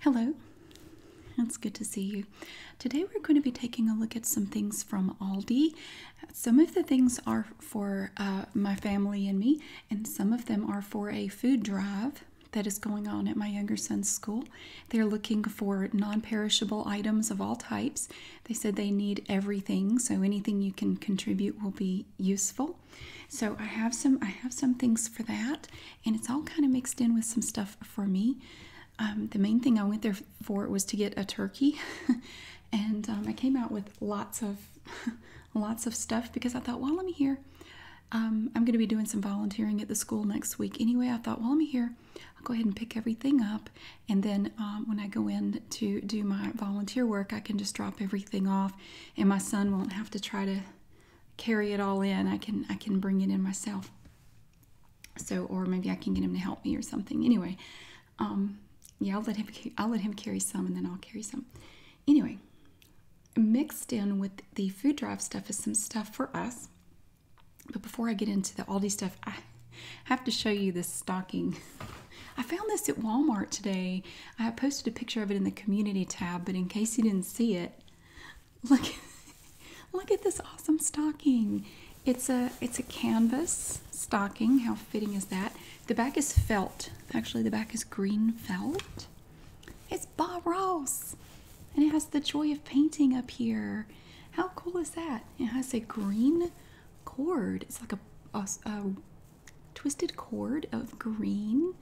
Hello, it's good to see you. Today we're going to be taking a look at some things from Aldi. Some of the things are for uh, my family and me, and some of them are for a food drive that is going on at my younger son's school. They're looking for non perishable items of all types. They said they need everything, so anything you can contribute will be useful. So I have some I have some things for that and it's all kind of mixed in with some stuff for me. Um, the main thing I went there for was to get a turkey, and um, I came out with lots of lots of stuff because I thought, while um, I'm here. I'm going to be doing some volunteering at the school next week anyway. I thought, while I'm here. I'll go ahead and pick everything up, and then when I go in to do my volunteer work, I can just drop everything off, and my son won't have to try to carry it all in. I can I can bring it in myself. So or maybe I can get him to help me or something. Anyway, um, yeah, I'll let him I'll let him carry some and then I'll carry some. Anyway, mixed in with the food drive stuff is some stuff for us. But before I get into the Aldi stuff, I have to show you this stocking. I found this at Walmart today. I posted a picture of it in the community tab, but in case you didn't see it, Look, look at this awesome stocking. It's a it's a canvas stocking. How fitting is that? The back is felt. Actually, the back is green felt. It's Bob Ross, and it has the joy of painting up here. How cool is that? It has a green cord. It's like a, a, a twisted cord of green.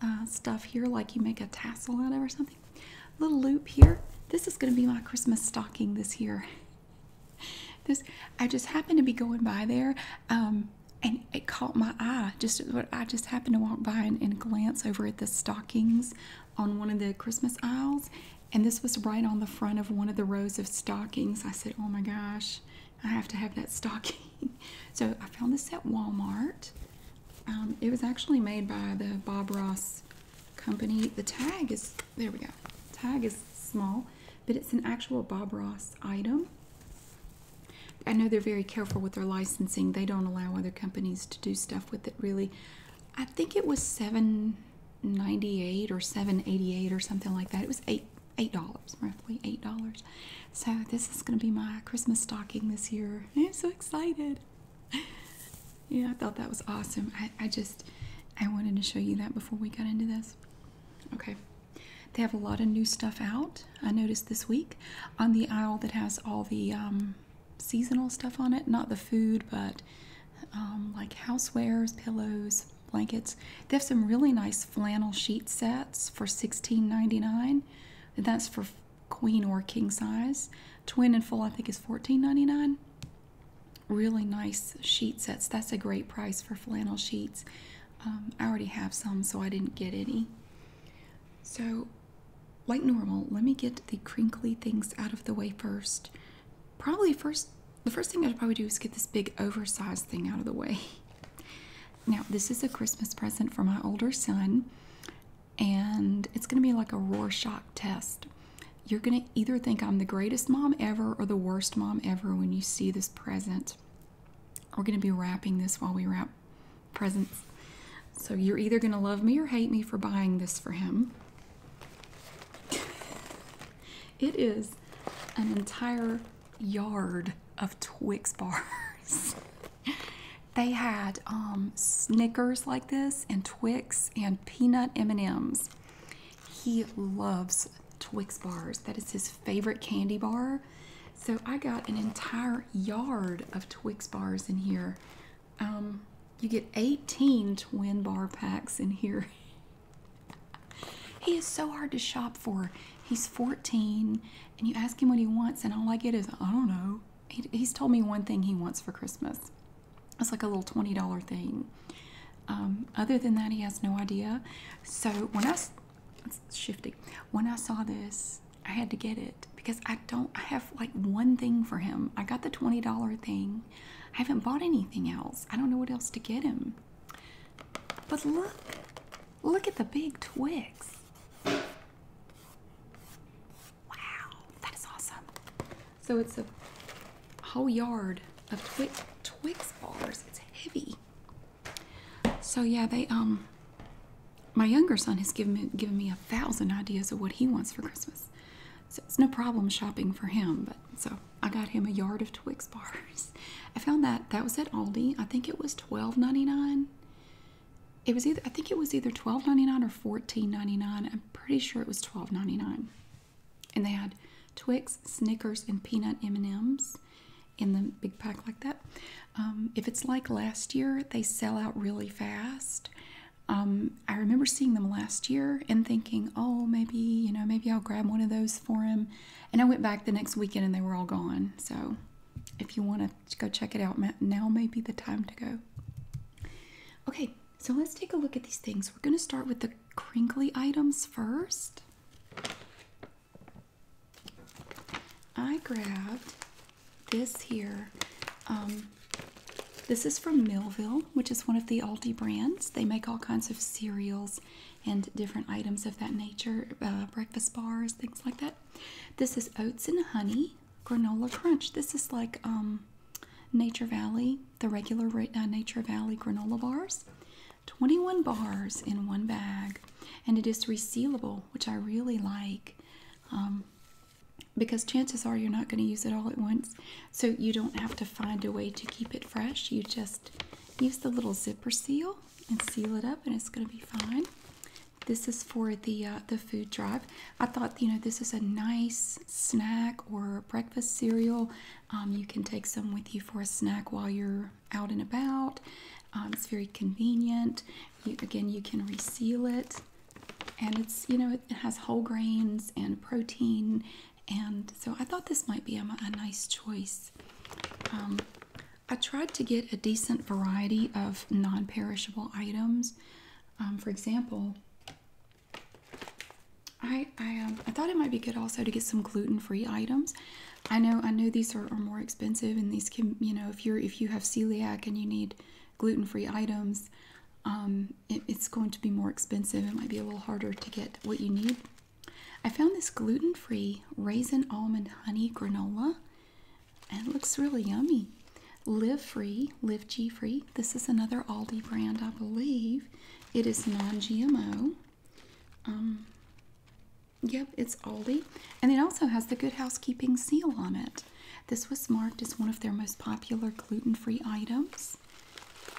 Uh, stuff here, like you make a tassel out of or something. Little loop here. This is going to be my Christmas stocking this year. This I just happened to be going by there, um, and it caught my eye. Just I just happened to walk by and glance over at the stockings on one of the Christmas aisles, and this was right on the front of one of the rows of stockings. I said, "Oh my gosh, I have to have that stocking." So I found this at Walmart. Um, it was actually made by the Bob Ross company. The tag is, there we go, tag is small, but it's an actual Bob Ross item. I know they're very careful with their licensing. They don't allow other companies to do stuff with it really. I think it was 798 or 788 or something like that. It was 8 $8 roughly $8. So this is going to be my Christmas stocking this year. I'm so excited. yeah, I thought that was awesome. I, I just, I wanted to show you that before we got into this. Okay. They have a lot of new stuff out. I noticed this week on the aisle that has all the um, seasonal stuff on it. Not the food, but um, like housewares, pillows, blankets. They have some really nice flannel sheet sets for $16.99. And that's for queen or king size. Twin and full, I think, is $14.99. Really nice sheet sets. That's a great price for flannel sheets. Um, I already have some, so I didn't get any. So, like normal, let me get the crinkly things out of the way first. Probably first, the first thing I'd probably do is get this big oversized thing out of the way. Now, this is a Christmas present for my older son, and it's going to be like a Rorschach test. You're going to either think I'm the greatest mom ever or the worst mom ever when you see this present. We're going to be wrapping this while we wrap presents. So you're either going to love me or hate me for buying this for him. it is an entire yard of Twix bars. They had um, Snickers like this and Twix and peanut M&Ms. He loves Twix bars. That is his favorite candy bar. So I got an entire yard of Twix bars in here. Um, you get 18 twin bar packs in here. he is so hard to shop for. He's 14 and you ask him what he wants, and all I get is, I don't know. he's told me one thing he wants for Christmas. It's like a little $20 thing. Um, other than that, he has no idea. So when I, it's shifting, when I saw this, I had to get it because I don't, I have like one thing for him. I got the $20 thing. I haven't bought anything else. I don't know what else to get him. But look, Look at the big Twix! Wow, that is awesome. So it's a whole yard of Twix twigs bars. It's heavy. So yeah, they um my younger son has given me given me a thousand ideas of what he wants for Christmas. So it's no problem shopping for him, but so I got him a yard of Twix bars. I found that that was at Aldi. I think it was twelve ninety nine. It was either I think it was either twelve ninety nine or fourteen ninety nine. I'm pretty sure it was twelve ninety nine, and they had Twix, Snickers, and peanut M and M's in the big pack like that. Um, if it's like last year, they sell out really fast. Um, I remember seeing them last year and thinking, oh, maybe you know, maybe I'll grab one of those for him. And I went back the next weekend and they were all gone. So, if you want to go check it out. Now may be the time to go. Okay, so let's take a look at these things. We're going to start with the crinkly items first. I grabbed this here. Um, this is from Millville, which is one of the Aldi brands. They make all kinds of cereals and different items of that nature, uh, breakfast bars, things like that. This is oats and honey granola crunch. This is like um, Nature Valley, the regular uh, Nature Valley granola bars. 21 bars in one bag, and it is resealable, which I really like. Um, because chances are you're not going to use it all at once so you don't have to find a way to keep it fresh you just use the little zipper seal and seal it up and it's going to be fine this is for the uh, the food drive. I thought you know this is a nice snack or breakfast cereal. Um, you can take some with you for a snack while you're out and about. Um, it's very convenient. again, you can reseal it, and it's you know it has whole grains and protein, and so I thought this might be a, a nice choice. Um, I tried to get a decent variety of non perishable items. Um, for example, I, um, I, thought it might be good also to get some gluten free items. I know I know these are, more expensive and these can you know if you're if you have celiac and you need gluten free items, um, it's going to be more expensive. It might be a little harder to get what you need. I found this gluten free raisin almond honey granola and looks really yummy. Live Free, Live G Free. This is another Aldi brand, I believe. It is non-GMO. Um, yep, it's Aldi, and it also has the Good Housekeeping seal on it. This was marked as one of their most popular gluten-free items.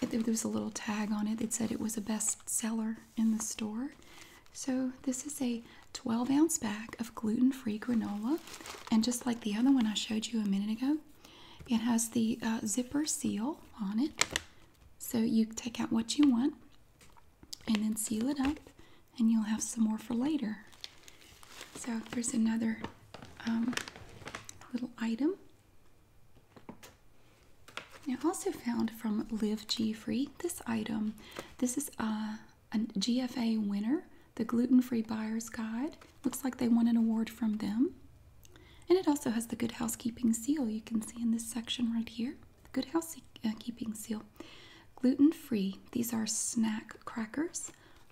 there was a little tag on it that said it was a bestseller in the store. So, this is a 12 ounce bag of gluten free granola. And just like the other one I showed you a minute ago, it has the uh, zipper seal on it. So, you take out what you want and then seal it up, and you'll have some more for later. So, there's another um, little item. Now, I also found from Live G Free this item. This is a. Uh, a GFA winner, the Gluten Free Buyer's Guide. Looks like they won an award from them. And it also has the Good Housekeeping Seal you can see in this section right here. Good Housekeeping Seal. Gluten free, these are snack crackers,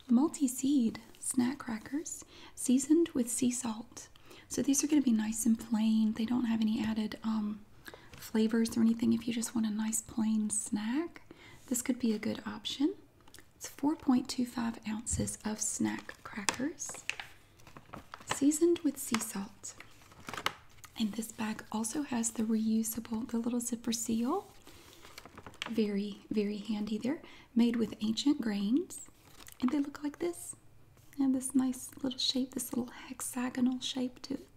multi seed snack crackers, seasoned with sea salt. So these are going to be nice and plain. They don't have any added um, flavors or anything if you just want a nice plain snack. This could be a good option. It's 4.25 ounces of snack crackers seasoned with sea salt. And this bag also has the reusable, the little zipper seal. Very, very handy there. Made with ancient grains. And they look like this. And this nice little shape, this little hexagonal shape to it.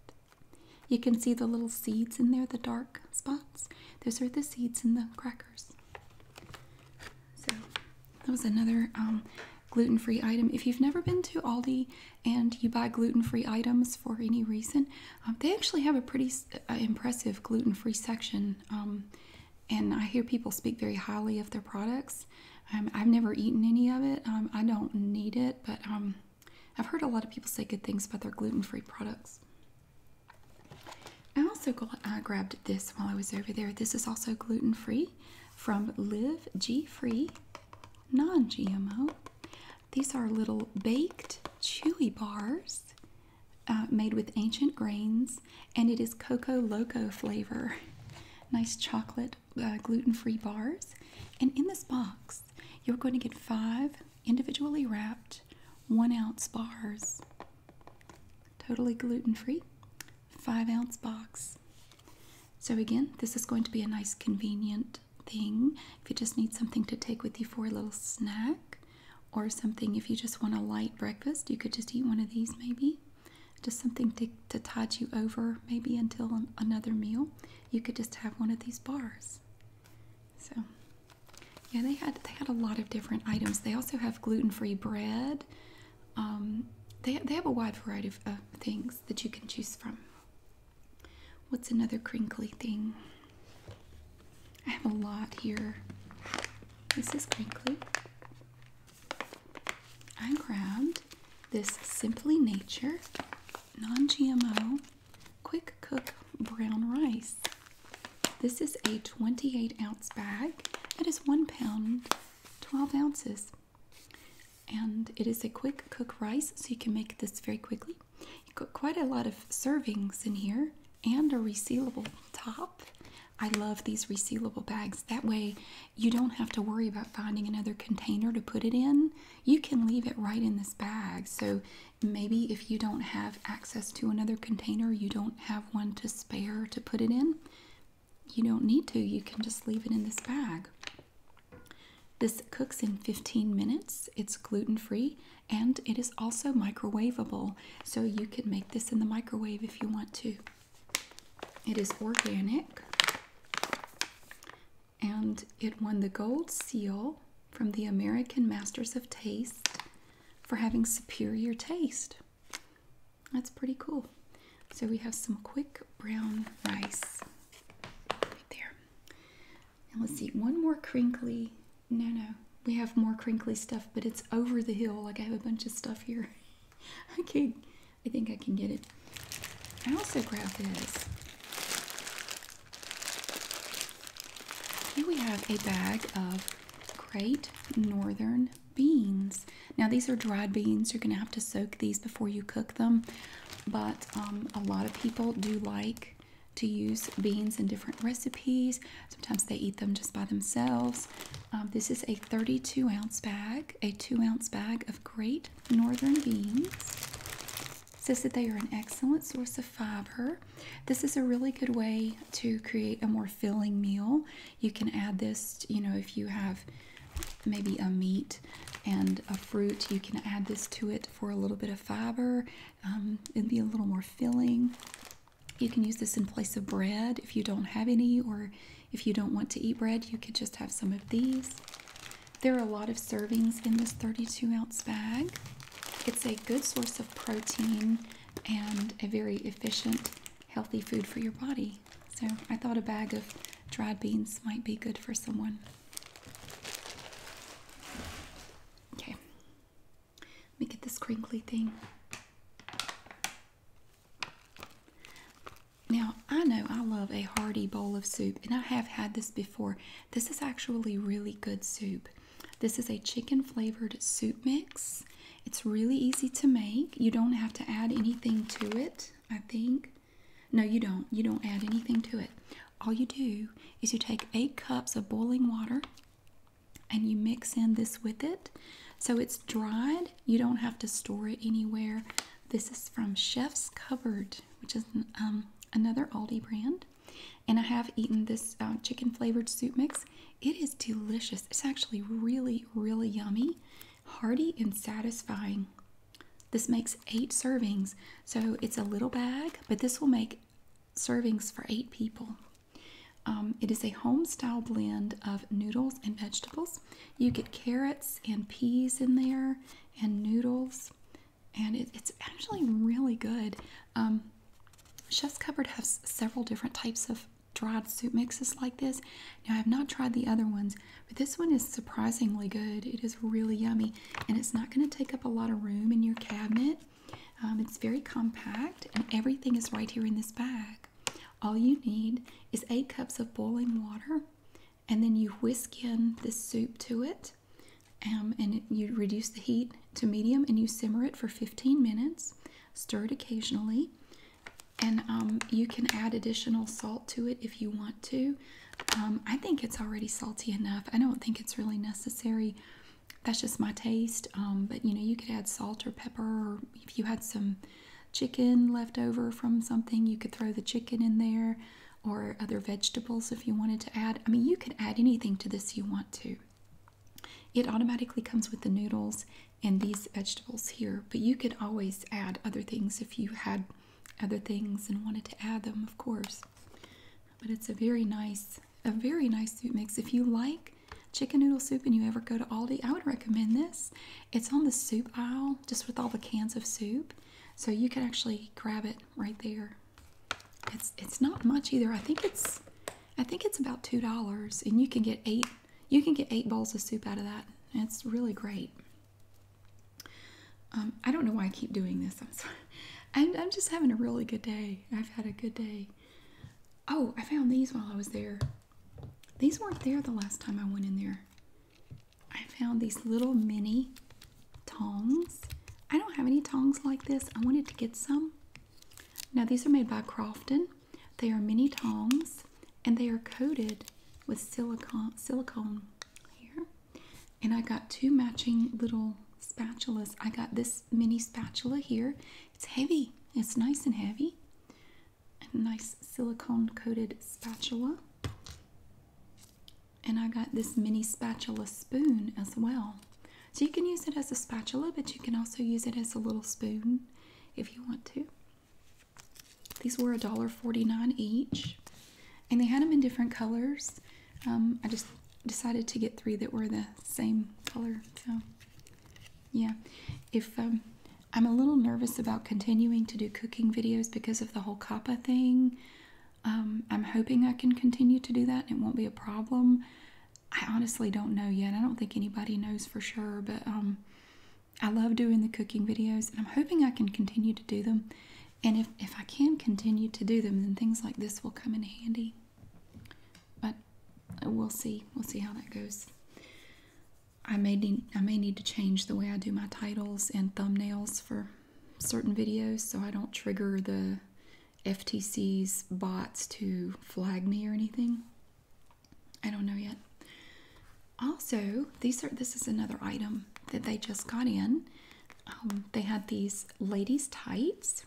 You can see the little seeds in there, the dark spots. Those are the seeds in the crackers. So that was another um, gluten-free item. If you've never been to Aldi and you buy gluten-free items for any reason, um, they actually have a pretty uh, impressive gluten-free section. Um, and I hear people speak very highly of their products. I've never eaten any of it. I don't need it, but I've heard a lot of people say good things about their gluten-free products. I also got, I uh, grabbed this while I was over there. This is also gluten-free from Live G-Free Non-GMO. These are little baked chewy bars uh, made with ancient grains, and it is cocoa Loco flavor. nice chocolate uh, gluten-free bars. And in this box, you're going to get five individually wrapped one ounce bars, totally gluten free, five ounce box. So, again, this is going to be a nice convenient thing if you just need something to take with you for a little snack or something if you just want a light breakfast. You could just eat one of these maybe. Just something to, to tide you over maybe until another meal. You could just have one of these bars. So yeah, they had they had a lot of different items. They also have gluten-free bread. Um, they they have a wide variety of things that you can choose from. What's another crinkly thing? I have a lot here. This is crinkly. I grabbed this Simply Nature non-GMO quick cook brown rice. This is a 28 ounce bag. It is one pound, 12 ounces. And it is a quick cook rice, so you can make this very quickly. You got quite a lot of servings in here and a resealable top. I love these resealable bags. That way, you don't have to worry about finding another container to put it in you can leave it right in this bag. So maybe if you don't have access to another container, you don't have one to spare to put it in, you don't need to. You can just leave it in this bag. This cooks in 15 minutes. It's gluten free and it is also microwavable. So you can make this in the microwave if you want to. It is organic and it won the Gold Seal from the American Masters of Taste for having superior taste. That's pretty cool. So we have some quick brown rice right there. Now let's see, one more crinkly. No, no, we have more crinkly stuff, but it's over the hill. Like I have a bunch of stuff here. I I think I can get it. I also grabbed this. Here we have a bag of great northern beans. Now, these are dried beans. You're going to have to soak these before you cook them. But um, a lot of people do like to use beans in different recipes. Sometimes they eat them just by themselves. Um, this is a 32 ounce bag, a 2 ounce bag of great northern beans says that they are an excellent source of fiber. This is a really good way to create a more filling meal. You can add this, you know, if you have maybe a meat and a fruit, you can add this to it for a little bit of fiber. Um, it'd be a little more filling. You can use this in place of bread if you don't have any, or if you don't want to eat bread, you could just have some of these. There are a lot of servings in this 32 ounce bag. It's a good source of protein and a very efficient, healthy food for your body. So I thought a bag of dried beans might be good for someone. Okay, let me get this crinkly thing. Now, I know I love a hearty bowl of soup, and I have had this before. This is actually really good soup. This is a chicken flavored soup mix. It's really easy to make. You don't have to add anything to it, I think. No, you don't. You don't add anything to it. All you do is you take eight cups of boiling water and you mix in this with it. So it's dried. You don't have to store it anywhere. This is from Chef's Cupboard, which is um, another Aldi brand and I have eaten this uh, chicken flavored soup mix. It is delicious. It's actually really, really yummy, hearty, and satisfying. This makes eight servings, so it's a little bag, but this will make servings for eight people. Um, it is a home style blend of noodles and vegetables. You get carrots and peas in there, and noodles and it's actually really good. Um, Chef's Cupboard has several different types of dried soup mixes like this. Now, I have not tried the other ones, but this one is surprisingly good. It is really yummy, and it's not going to take up a lot of room in your cabinet. Um, it's very compact, and everything is right here in this bag. All you need is eight cups of boiling water, and then you whisk in the soup to it. Um, and you reduce the heat to medium and you simmer it for 15 minutes. Stir it occasionally. And um, you can add additional salt to it if you want to. Um, I think it's already salty enough. I don't think it's really necessary. That's just my taste. but you know, you could add salt or pepper, or if you had some chicken left over from something, you could throw the chicken in there or other vegetables if you wanted to add. I mean, you could add anything to this you want to. It automatically comes with the noodles and these vegetables here, but you could always add other things if you had other things and wanted to add them, of course. But it's a very nice, a very nice soup mix. If you like chicken noodle soup and you ever go to Aldi, I would recommend this. It's on the soup aisle, just with all the cans of soup. So you can actually grab it right there it's it's not much either. I think it's I think it's about two dollars, and you can get eight you can get eight bowls of soup out of that. It's really great. Um, I don't know why I keep doing this. I'm sorry. I'm, I'm just having a really good day. I've had a good day. Oh, I found these while I was there. These weren't there the last time I went in there. I found these little mini tongs. I don't have any tongs like this. I wanted to get some. Now, these are made by Crofton. They are mini tongs and they are coated with silicone. silicone here. And I got two matching little spatulas. I got this mini spatula here. It's heavy, it's nice and heavy. A nice silicone coated spatula and I got this mini spatula spoon as well. So you can use it as a spatula, but you can also use it as a little spoon if you want to. These were a dollar forty-nine each, and they had them in different colors. Um, I just decided to get three that were the same color. So, yeah, if um, I'm a little nervous about continuing to do cooking videos because of the whole COPPA thing, um, I'm hoping I can continue to do that. it won't be a problem. I honestly don't know yet. I don't think anybody knows for sure, but um, I love doing the cooking videos, and I'm hoping I can continue to do them. And if, if I can continue to do them, then things like this will come in handy. But uh, we'll see. We'll see how that goes. I may I may need to change the way I do my titles and thumbnails for certain videos so I don't trigger the FTC's bots to flag me or anything. I don't know yet. Also, these are this is another item that they just got in. Um, they had these ladies' tights.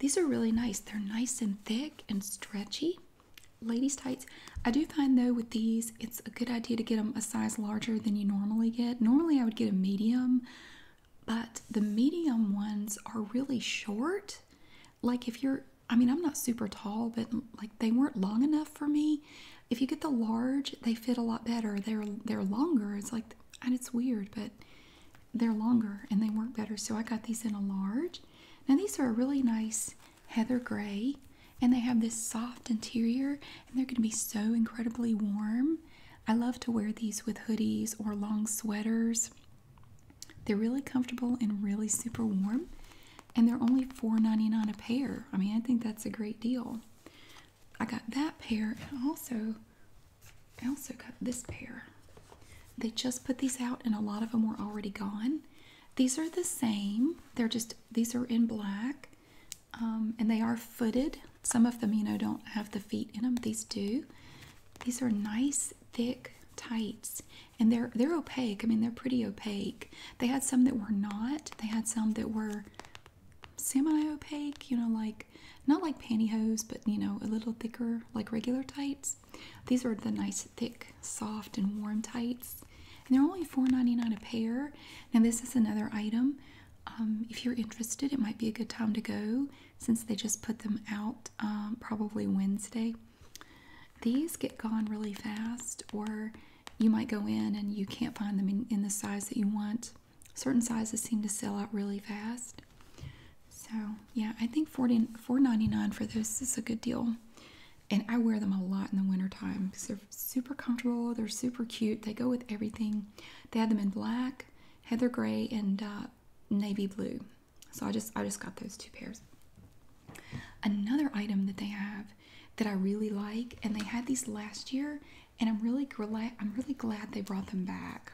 These are really nice. They're nice and thick and stretchy. Ladies' tights. I do find though with these, it's a good idea to get them a size larger than you normally get. Normally, I would get a medium but the medium ones are really short. Like, if you're, I mean, I'm not super tall, but like they weren't long enough for me. If you get the large, they fit a lot better. They're they're longer. It's like, and it's weird, but they're longer and they work better. So I got these in a large. Now these are a really nice heather gray, and they have this soft interior, and they're going to be so incredibly warm. I love to wear these with hoodies or long sweaters. They're really comfortable and really super warm. And they're only $4.99 a pair. I mean, I think that's a great deal. I got that pair and also I also got this pair. They just put these out and a lot of them were already gone. These are the same. They're just these are in black. Um, and they are footed. Some of them, you know, don't have the feet in them. These do. These are nice, thick tights, and they're they're opaque. I mean, they're pretty opaque. They had some that were not. They had some that were semi-opaque. You know, like not like pantyhose, but you know, a little thicker, like regular tights. These are the nice, thick, soft, and warm tights. And they're only $4.99 a pair. Now, this is another item um, if you're interested, it might be a good time to go since they just put them out um, probably Wednesday. These get gone really fast, or you might go in and you can't find them in, the size that you want. Certain sizes seem to sell out really fast. So, yeah, I think 40, dollars 99 for this is a good deal. And I wear them a lot in the wintertime because they're super comfortable. They're super cute. They go with everything. They had them in black heather gray and uh, navy blue. So I just I just got those two pairs. Another item that they have that I really like, and they had these last year, and I'm really glad I'm really glad they brought them back.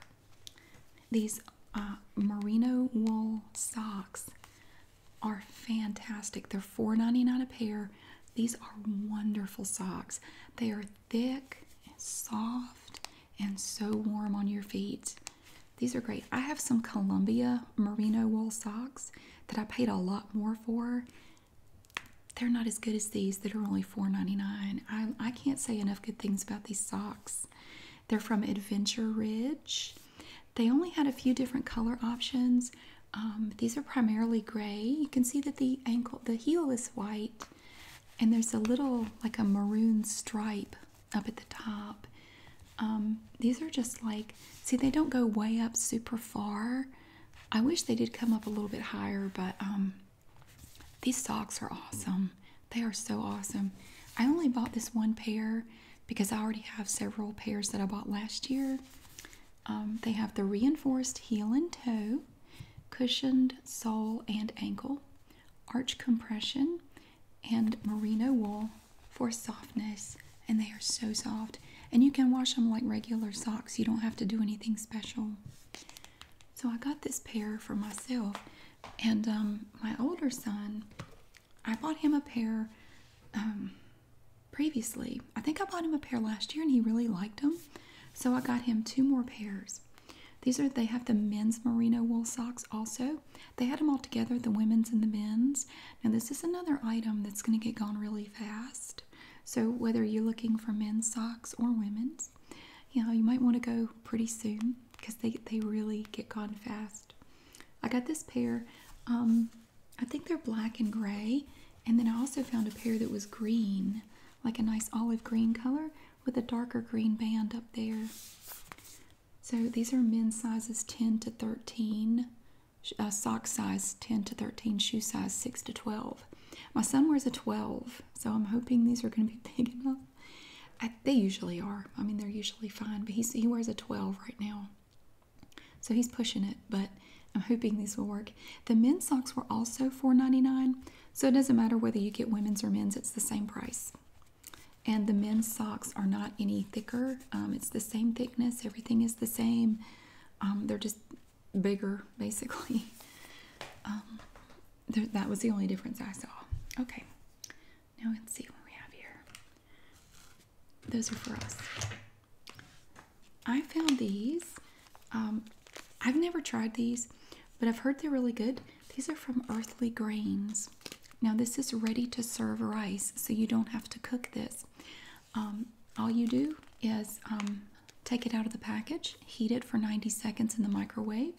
These uh, merino wool socks are fantastic. They're $4.99 a pair. These are wonderful socks. They are thick and soft and so warm on your feet. These are great. I have some Columbia merino wool socks that I paid a lot more for. They're not as good as these that are only $4.99. I, can't say enough good things about these socks. They're from Adventure Ridge. They only had a few different color options. Um, these are primarily gray. You can see that the ankle, the heel is white and there's a little like a maroon stripe up at the top. Um, these are just like, see, they don't go way up super far. I wish they did come up a little bit higher, but um, these socks are awesome. They are so awesome. I only bought this one pair because I already have several pairs that I bought last year. Um, they have the reinforced heel and toe, cushioned sole and ankle, arch compression, and merino wool for softness. And they are so soft. And you can wash them like regular socks, you don't have to do anything special. So I got this pair for myself. And um, my older son, I bought him a pair um, previously. I think I bought him a pair last year and he really liked them. So I got him two more pairs. These are they have the men's merino wool socks also. They had them all together, the women's and the men's. Now this is another item that's going to get gone really fast. So whether you're looking for men's socks or women's, you know, you might want to go pretty soon because they they really get gone fast. I got this pair. Um, I think they're black and gray, and then I also found a pair that was green, like a nice olive green color with a darker green band up there. So these are men's sizes 10 to 13, uh, sock size 10 to 13, shoe size 6 to 12. My son wears a 12, so I'm hoping these are going to be big enough. they usually are. I mean, they're usually fine, but he's, he wears a 12 right now. So he's pushing it, but I'm hoping these will work. The men's socks were also $4.99, so it doesn't matter whether you get women's or men's, it's the same price. And the men's socks are not any thicker. Um, it's the same thickness, everything is the same. Um, they're just bigger, basically. Um, that was the only difference I saw. Okay, now let's see what we have here. Those are for us. I found these um, I've never tried these, but I've heard they're really good. These are from Earthly Grains. Now, this is ready to serve rice, so you don't have to cook this. Um, all you do is um, take it out of the package, heat it for 90 seconds in the microwave.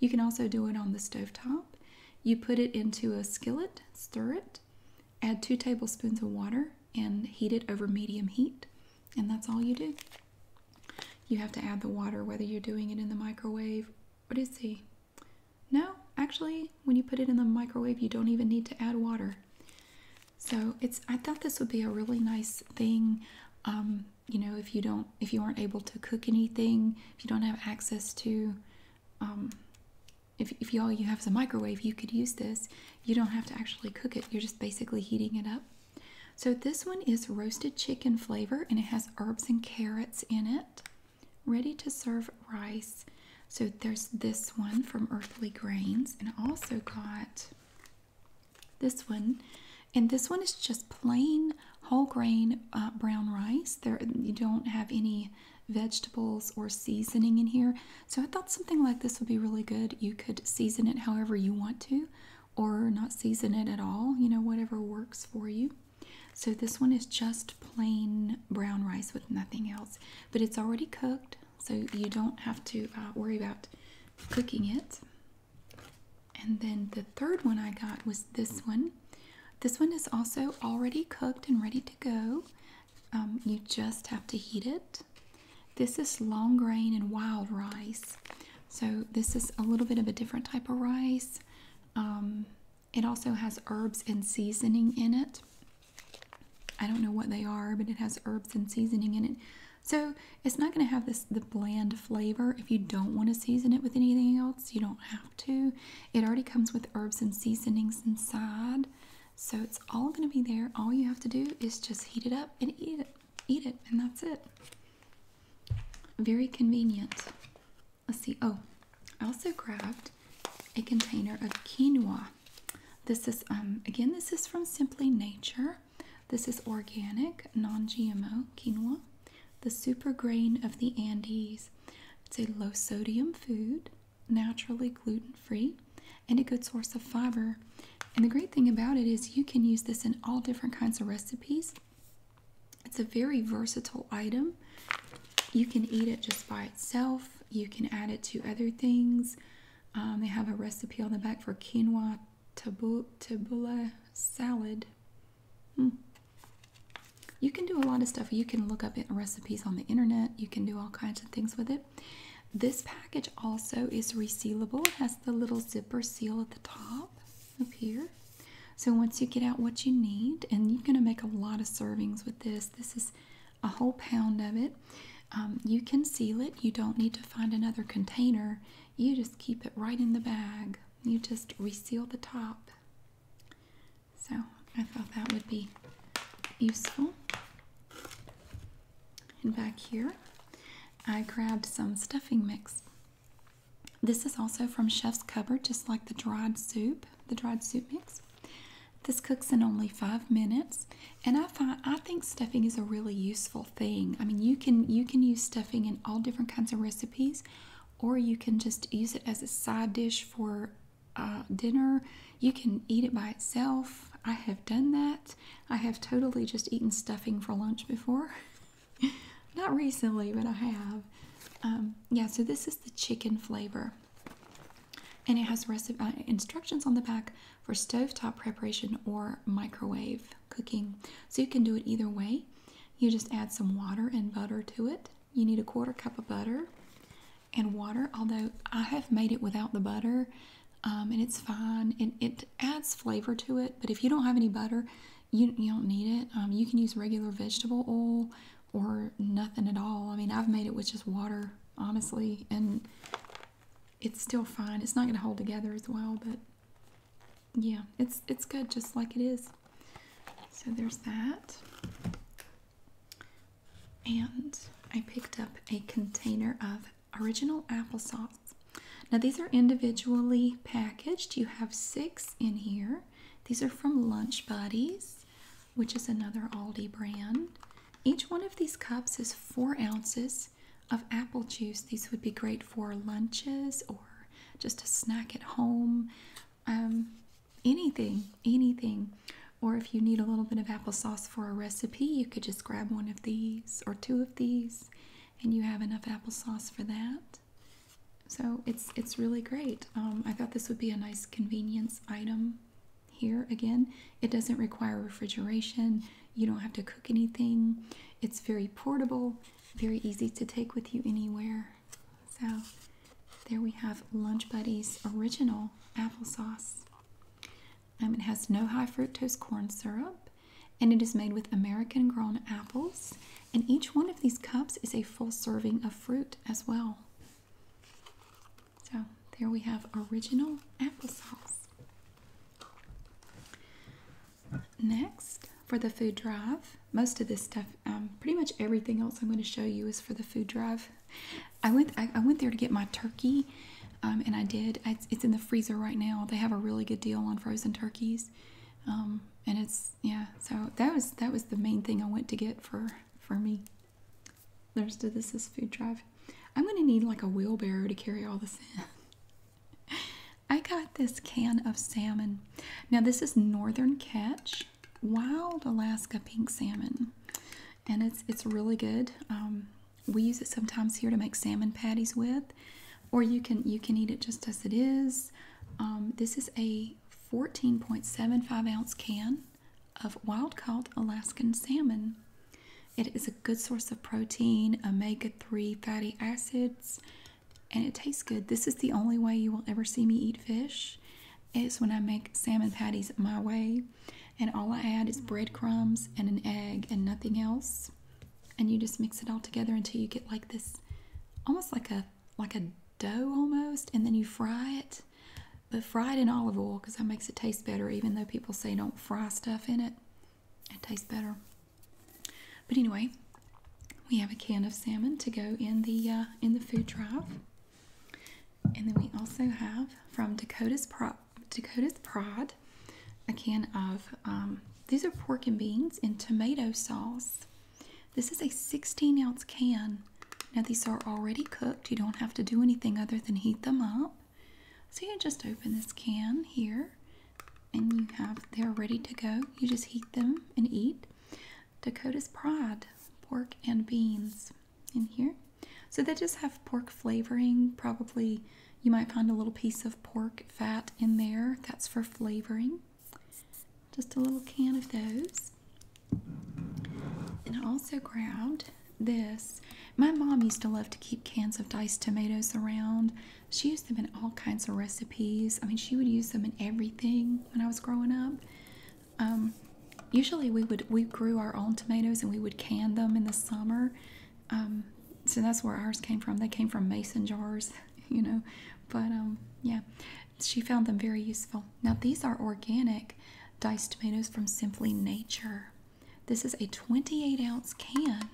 You can also do it on the stove top. You put it into a skillet, stir it, add two tablespoons of water, and heat it over medium heat and that's all you do. You have to add the water whether you're doing it in the microwave. What is he? No, actually, when you put it in the microwave, you don't even need to add water. So it's. I thought this would be a really nice thing. Um, you know, if you don't, if you aren't able to cook anything, if you don't have access to, um, if if y'all you, have is a microwave, you could use this. You don't have to actually cook it. You're just basically heating it up. So this one is roasted chicken flavor and it has herbs and carrots in it. Ready to serve rice. So there's this one from Earthly Grains and I also got this one. And this one is just plain whole grain uh, brown rice. There you don't have any vegetables or seasoning in here. So I thought something like this would be really good. You could season it however you want to or not season it at all, you know, whatever works for you. So this one is just plain brown rice with nothing else, but it's already cooked, so you don't have to uh, worry about cooking it. And then the third one I got was this one. This one is also already cooked and ready to go. Um, you just have to heat it. This is long grain and wild rice. So this is a little bit of a different type of rice. Um, it also has herbs and seasoning in it. I don't know what they are, but it has herbs and seasoning in it. So it's not going to have this the bland flavor. If you don't want to season it with anything else, you don't have to. It already comes with herbs and seasonings inside. So it's all going to be there. All you have to do is just heat it up and eat it. Eat it, and that's it. Very convenient. Let's see. Oh, I also grabbed a container of quinoa. This is um again this is from Simply Nature. This is organic, non-GMO quinoa, the super grain of the Andes. It's a low sodium food, naturally gluten-free, and a good source of fiber and the great thing about it is you can use this in all different kinds of recipes. It's a very versatile item. You can eat it just by itself. You can add it to other things. Um, they have a recipe on the back for quinoa tabula, salad. Hmm. You can do a lot of stuff. You can look up recipes on the internet. You can do all kinds of things with it. This package also is resealable. It has the little zipper seal at the top up here. So once you get out what you need, and you're going to make a lot of servings with this. This is a whole pound of it. Um, you can seal it. You don't need to find another container. You just keep it right in the bag. You just reseal the top. So I thought that would be useful. And back here, I grabbed some stuffing mix. This is also from Chef's Cupboard, just like the dried soup, the dried soup mix. This cooks in only five minutes, and I find I think stuffing is a really useful thing. I mean, you can you can use stuffing in all different kinds of recipes, or you can just use it as a side dish for uh, dinner. You can eat it by itself. I have done that. I have totally just eaten stuffing for lunch before. Not recently, but I have. Um, yeah, so this is the chicken flavor. And it has recipe, uh, instructions on the back for stovetop preparation or microwave cooking. So you can do it either way. You just add some water and butter to it. You need a quarter cup of butter and water, although I have made it without the butter um, and it's fine. It, it adds flavor to it but if you don't have any butter you, don't need it um, you can use regular vegetable oil or nothing at all i mean i've made it with just water honestly and it's still fine it's not going to hold together as well but yeah it's it's good just like it is so there's that and i picked up a container of original applesauce now, these are individually packaged. You have six in here. These are from Lunch Buddies, which is another Aldi brand. Each one of these cups is four ounces of apple juice. These would be great for lunches or just a snack at home. Um, anything, anything. Or if you need a little bit of applesauce for a recipe, you could just grab one of these or two of these and you have enough applesauce for that. So it's it's really great. Um, I thought this would be a nice convenience item here again. It doesn't require refrigeration. You don't have to cook anything. It's very portable, very easy to take with you anywhere. So there we have Lunch Buddies original applesauce. Um, it has no high fructose corn syrup and it is made with American grown apples. And each one of these cups is a full serving of fruit as well. So there we have original applesauce. Next, for the food drive, most of this stuff, um, pretty much everything else I'm going to show you is for the food drive. I went, I, went there to get my turkey, um, and I did. it's in the freezer right now. They have a really good deal on frozen turkeys. Um, and it's yeah so that was that was the main thing I went to get for for me There's rest this is food drive I'm gonna need like a wheelbarrow to carry all this in I got this can of salmon now this is northern catch wild Alaska pink salmon and it's it's really good um, we use it sometimes here to make salmon patties with or you can you can eat it just as it is. Um, this is a 14.75 ounce can of wild caught Alaskan salmon. It is a good source of protein, omega 3 fatty acids, and it tastes good. This is the only way you will ever see me eat fish is when I make salmon patties my way. And all I add is breadcrumbs and an egg and nothing else and you just mix it all together until you get like this almost like a like a dough almost and then you fry it but fry it in olive oil because that makes it taste better even though people say don't fry stuff in it it tastes better but anyway we have a can of salmon to go in the uh, in the food drive and then we also have from dakota's prop dakota's prod. A can of um, these are pork and beans in tomato sauce. This is a 16 ounce can. Now, these are already cooked. You don't have to do anything other than heat them up. So, you just open this can here and you have, they're ready to go. You just heat them and eat. Dakota's Pride pork and beans in here. So, they just have pork flavoring, probably you might find a little piece of pork fat in there. That's for flavoring. Just a little can of those. And I also grabbed this. My mom used to love to keep cans of diced tomatoes around. She used them in all kinds of recipes. I mean, she would use them in everything when I was growing up. Um, usually we would we grew our own tomatoes and we would can them in the summer um, so that's where ours came from. They came from mason jars, you know. But um, yeah, she found them very useful. Now, these are organic diced tomatoes from Simply Nature. This is a 28 ounce can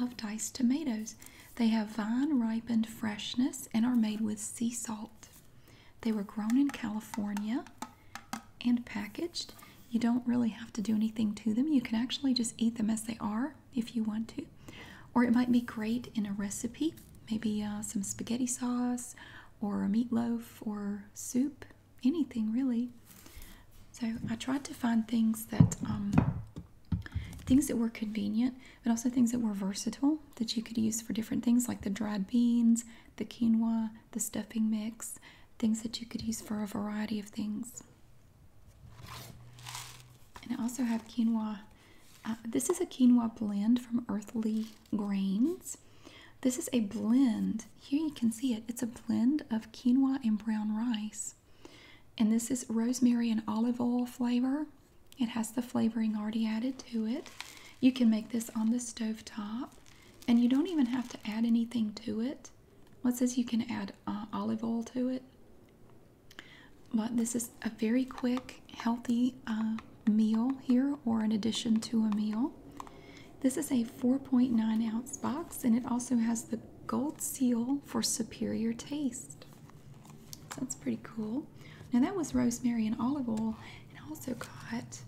of diced tomatoes. They have vine ripened freshness and are made with sea salt. They were grown in California and packaged. You don't really have to do anything to them. You can actually just eat them as they are if you want to, or it might be great in a recipe, maybe uh, some spaghetti sauce or a meatloaf or soup, anything really. So I tried to find things that um, things that were convenient, but also things that were versatile that you could use for different things, like the dried beans, the quinoa, the stuffing mix, things that you could use for a variety of things. And I also have quinoa. Uh, this is a quinoa blend from Earthly Grains. This is a blend. Here you can see it. It's a blend of quinoa and brown rice. And this is rosemary and olive oil flavor. It has the flavoring already added to it. You can make this on the stove top, and you don't even have to add anything to it. What says you can add uh, olive oil to it? But this is a very quick, healthy uh, meal here, or in addition to a meal. This is a 4.9 ounce box, and it also has the gold seal for superior taste. that's pretty cool. Now, that was rosemary and olive oil, and I also got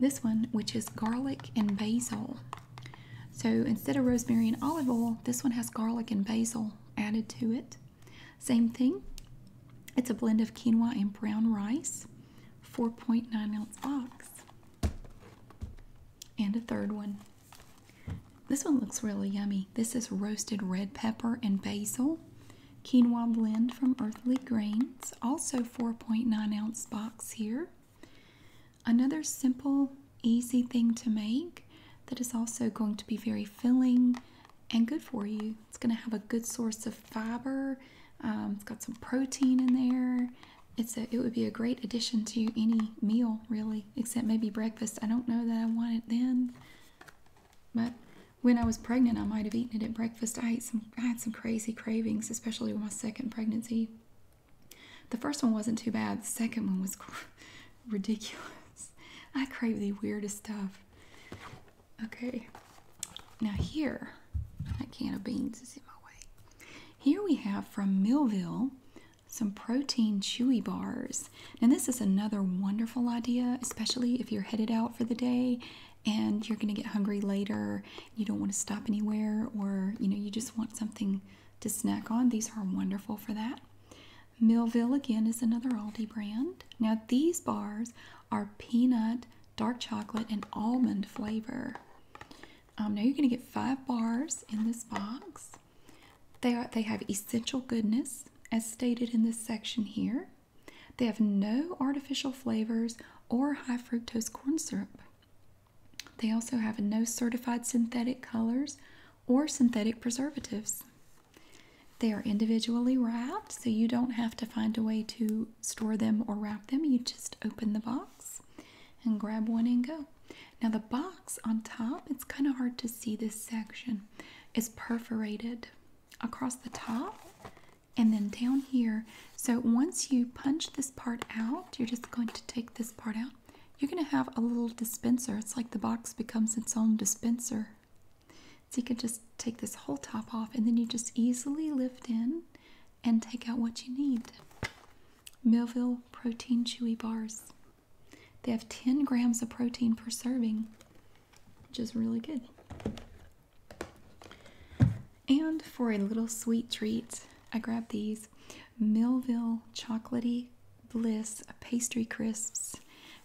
this one, which is garlic and basil. So instead of rosemary and olive oil, this one has garlic and basil, added to it. Same thing. It's a blend of quinoa and brown rice, 4.9 ounce box. And a third one. This one looks really yummy. This is roasted red pepper and basil. Quinoa blend from Earthly Grains, also 4.9 ounce box here. Another simple easy thing to make that is also going to be very filling and good for you. It's going to have a good source of fiber. Um, it's got some protein in there. It's a, it would be a great addition to any meal, really, except maybe breakfast. I don't know that I want it then, but when I was pregnant, I might have eaten it at breakfast. I ate some. I had some crazy cravings, especially with my second pregnancy. The first one wasn't too bad. The second one was ridiculous. I crave the weirdest stuff. Okay, now here, that can of beans is in my way. Here we have from Millville some protein chewy bars. And this is another wonderful idea, especially if you're headed out for the day and you're going to get hungry later. You don't want to stop anywhere or, you know, you just want something to snack on. These are wonderful for that. Millville again is another Aldi brand. Now these bars are peanut, dark chocolate, and almond flavor. Um, now you're going to get five bars in this box. They are they have essential goodness as stated in this section here. They have no artificial flavors or high fructose corn syrup. They also have no certified synthetic colors or synthetic preservatives. They are individually wrapped, so you don't have to find a way to store them or wrap them. You just open the box and grab one and go. Now, the box on top, it's kind of hard to see this section, is perforated across the top and then down here. So, once you punch this part out, you're just going to take this part out you're gonna have a little dispenser. It's like the box becomes its own dispenser. So you can just take this whole top off and then you just easily lift in and take out what you need. Millville Protein Chewy Bars. They have 10 grams of protein per serving, which is really good. And for a little sweet treat, I grabbed these Millville Chocolatey bliss pastry crisps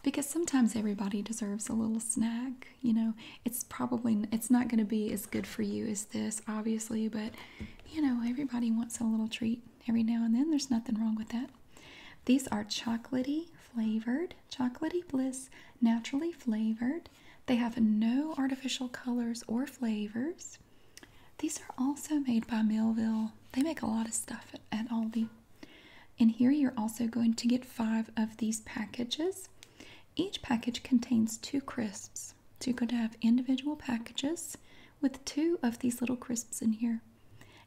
because sometimes everybody deserves a little snack you know it's probably it's not going to be as good for you as this obviously but you know everybody wants a little treat every now and then there's nothing wrong with that these are chocolatey flavored chocolatey bliss naturally flavored they have no artificial colors or flavors these are also made by Millville. They make a lot of stuff at, at Aldi. And here you're also going to get five of these packages. Each package contains two crisps. So you're going to have individual packages with two of these little crisps in here.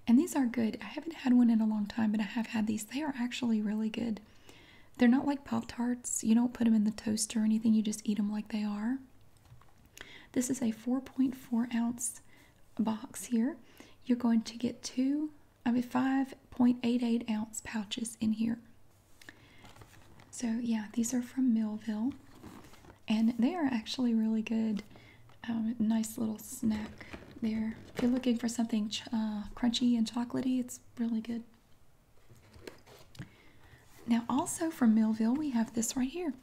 And these are good. I haven't had one in a long time, but I have had these. They are actually really good. They're not like Pop Tarts. You don't put them in the toaster or anything, you just eat them like they are. This is a 4.4 ounce box here. You're going to get two, of mean, 5.88 ounce pouches in here. So, yeah, these are from Millville, and they are actually really good. Um, nice little snack there. If you're looking for something uh, crunchy and chocolatey, it's really good. Now, also from Millville, we have this right here.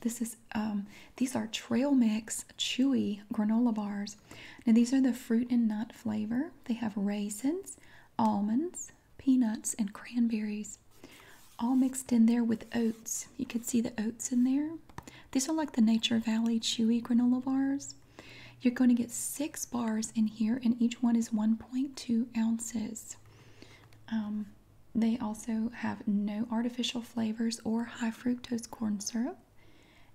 This is um, these are trail mix chewy granola bars. Now these are the fruit and nut flavor. They have raisins, almonds, peanuts, and cranberries, all mixed in there with oats. You can see the oats in there. These are like the Nature Valley chewy granola bars. You're going to get six bars in here, and each one is 1.2 ounces. Um, they also have no artificial flavors or high fructose corn syrup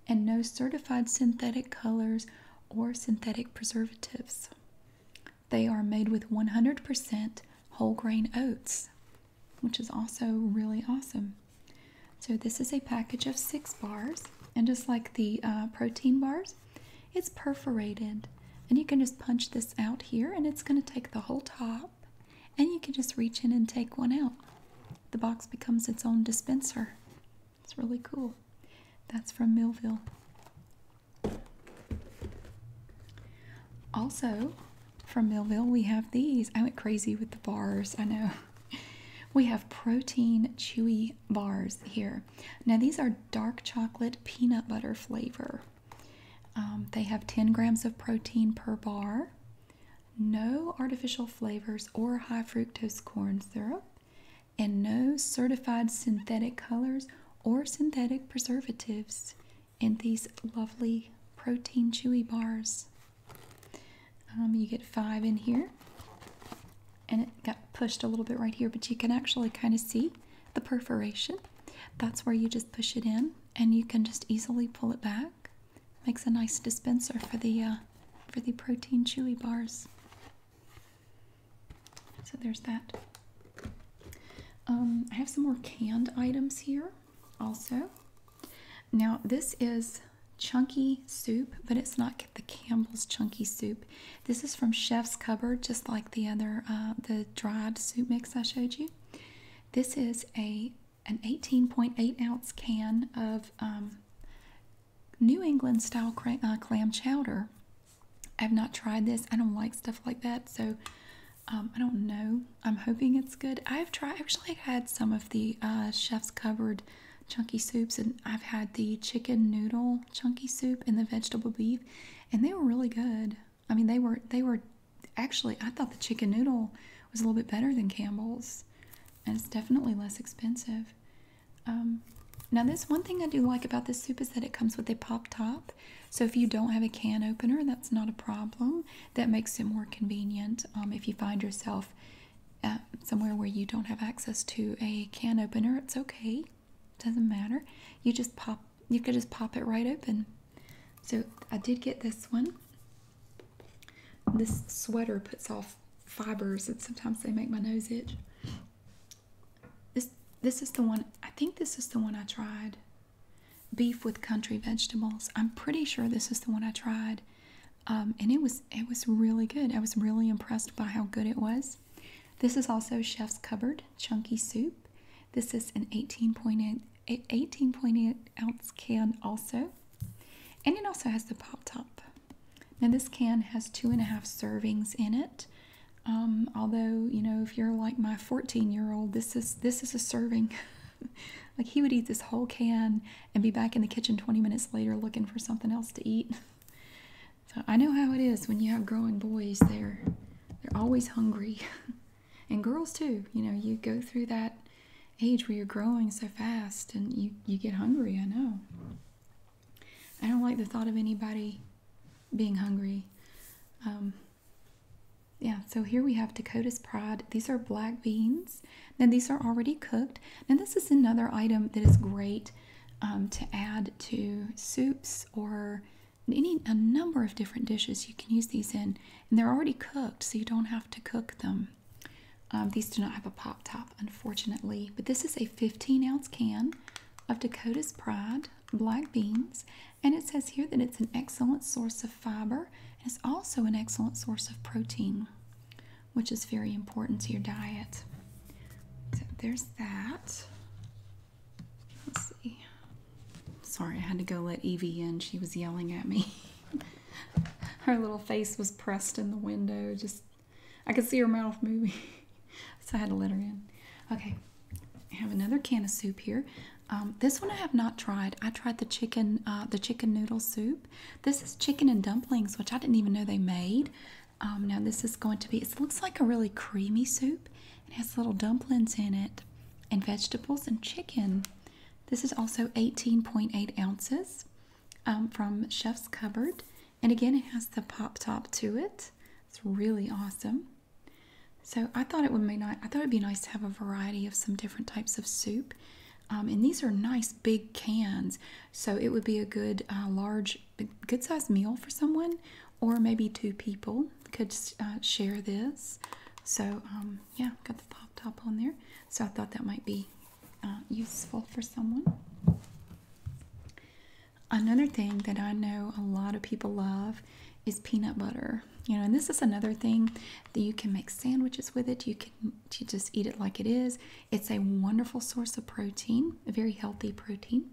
and no certified synthetic colors or synthetic preservatives. They are made with 100% whole grain oats, which is also really awesome. So, this is a package of six bars, and just like the uh, protein bars, it's perforated. And you can just punch this out here, and it's going to take the whole top and you can just reach in and take one out. The box becomes its own dispenser. It's really cool. That's from Millville. Also, from Millville, we have these. I went crazy with the bars, I know. We have protein chewy bars here. Now, these are dark chocolate peanut butter flavor. Um, they have 10 grams of protein per bar, no artificial flavors or high fructose corn syrup, and no certified synthetic colors or synthetic preservatives in these lovely protein chewy bars. Um, you get five in here, and it got pushed a little bit right here, but you can actually kind of see the perforation. That's where you just push it in, and you can just easily pull it back Makes a nice dispenser for the uh, for the protein chewy bars. So there's that. Um, I have some more canned items here, also. Now this is chunky soup, but it's not the Campbell's chunky soup. This is from Chef's Cupboard, just like the other uh, the dried soup mix I showed you. This is a an 18.8 ounce can of um, New England style uh, clam chowder. I've not tried this. I don't like stuff like that, so um, I don't know. I'm hoping it's good. I've tried. Actually, I had some of the uh, chef's covered chunky soups, and I've had the chicken noodle chunky soup and the vegetable beef, and they were really good. I mean, they were they were actually. I thought the chicken noodle was a little bit better than Campbell's, and it's definitely less expensive. Um, now, this one thing I do like about this soup is that it comes with a pop top. So if you don't have a can opener, that's not a problem. That makes it more convenient um, if you find yourself uh, somewhere where you don't have access to a can opener. It's okay. Doesn't matter. You just pop. You could just pop it right open. So I did get this one. This sweater puts off fibers and sometimes they make my nose itch. This this is the one I think this is the one I tried. Beef with country vegetables. I'm pretty sure this is the one I tried. Um, and it was it was really good. I was really impressed by how good it was. This is also Chef's Cupboard Chunky Soup. This is an 18.8 ounce can also. And it also has the pop top. Now this can has two and a half servings in it. Um, although you know, if you're like my 14 year old, this is this is a serving. like he would eat this whole can and be back in the kitchen 20 minutes later looking for something else to eat. so I know how it is when you have growing boys. They're they're always hungry. and girls too you know you go through that age where you're growing so fast and you you get hungry i know i don't like the thought of anybody being hungry um, yeah so here we have dakota's pride these are black beans now these are already cooked now this is another item that is great um, to add to soups or any a number of different dishes you can use these in and they're already cooked, so you don't have to cook them. Um, these do not have a pop top, unfortunately, but this is a 15 ounce can of Dakota's Pride black beans, and it says here that it's an excellent source of fiber and it's also an excellent source of protein, which is very important to your diet. So there's that. Let's see. Sorry, I had to go let Evie in. She was yelling at me. her little face was pressed in the window. Just, I could see her mouth moving. so I had to let her in. Okay, I have another can of soup here. Um, this one I have not tried. I tried the chicken, uh, the chicken noodle soup. This is chicken and dumplings, which I didn't even know they made. Um, now this is going to be. It looks like a really creamy soup. It has little dumplings in it, and vegetables and chicken. This is also 18.8 ounces um, from Chef's Cupboard. And again, it has the pop top to it. It's really awesome. So I thought it would be nice. I thought it'd be nice to have a variety of some different types of soup. Um, and these are nice big cans, so it would be a good uh, large, good sized meal for someone, or maybe two people could uh, share this. So um, yeah, pop top on there. So I thought that might be uh, useful for someone. Another thing that I know a lot of people love is peanut butter. You know, and this is another thing that you can make sandwiches with it. You can you just eat it like it is. It's a wonderful source of protein, a very healthy protein.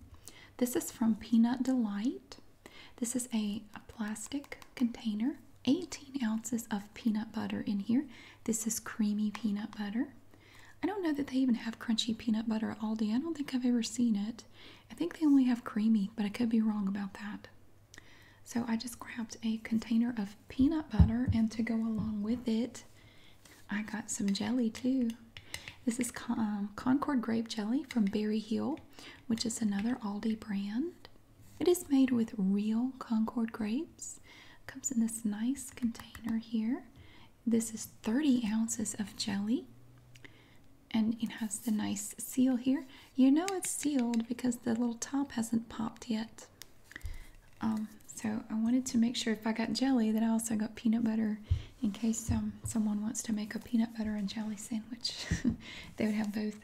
This is from Peanut Delight. This is a, plastic container, 18 ounces of peanut butter in here. This is creamy peanut butter. I don't know that they even have crunchy peanut butter at Aldi. I don't think I've ever seen it. I think they only have creamy, but I could be wrong about that. So I just grabbed a container of peanut butter, and to go along with it, I got some jelly too. This is um, Concord Grape Jelly from Berry Hill, which is another Aldi brand. It is made with real Concord grapes. Comes in this nice container here. This is 30 ounces of jelly. And it has the nice seal here. You know it's sealed because the little top hasn't popped yet. Um, so I wanted to make sure if I got jelly that I also got peanut butter in case um, someone wants to make a peanut butter and jelly sandwich. they would have both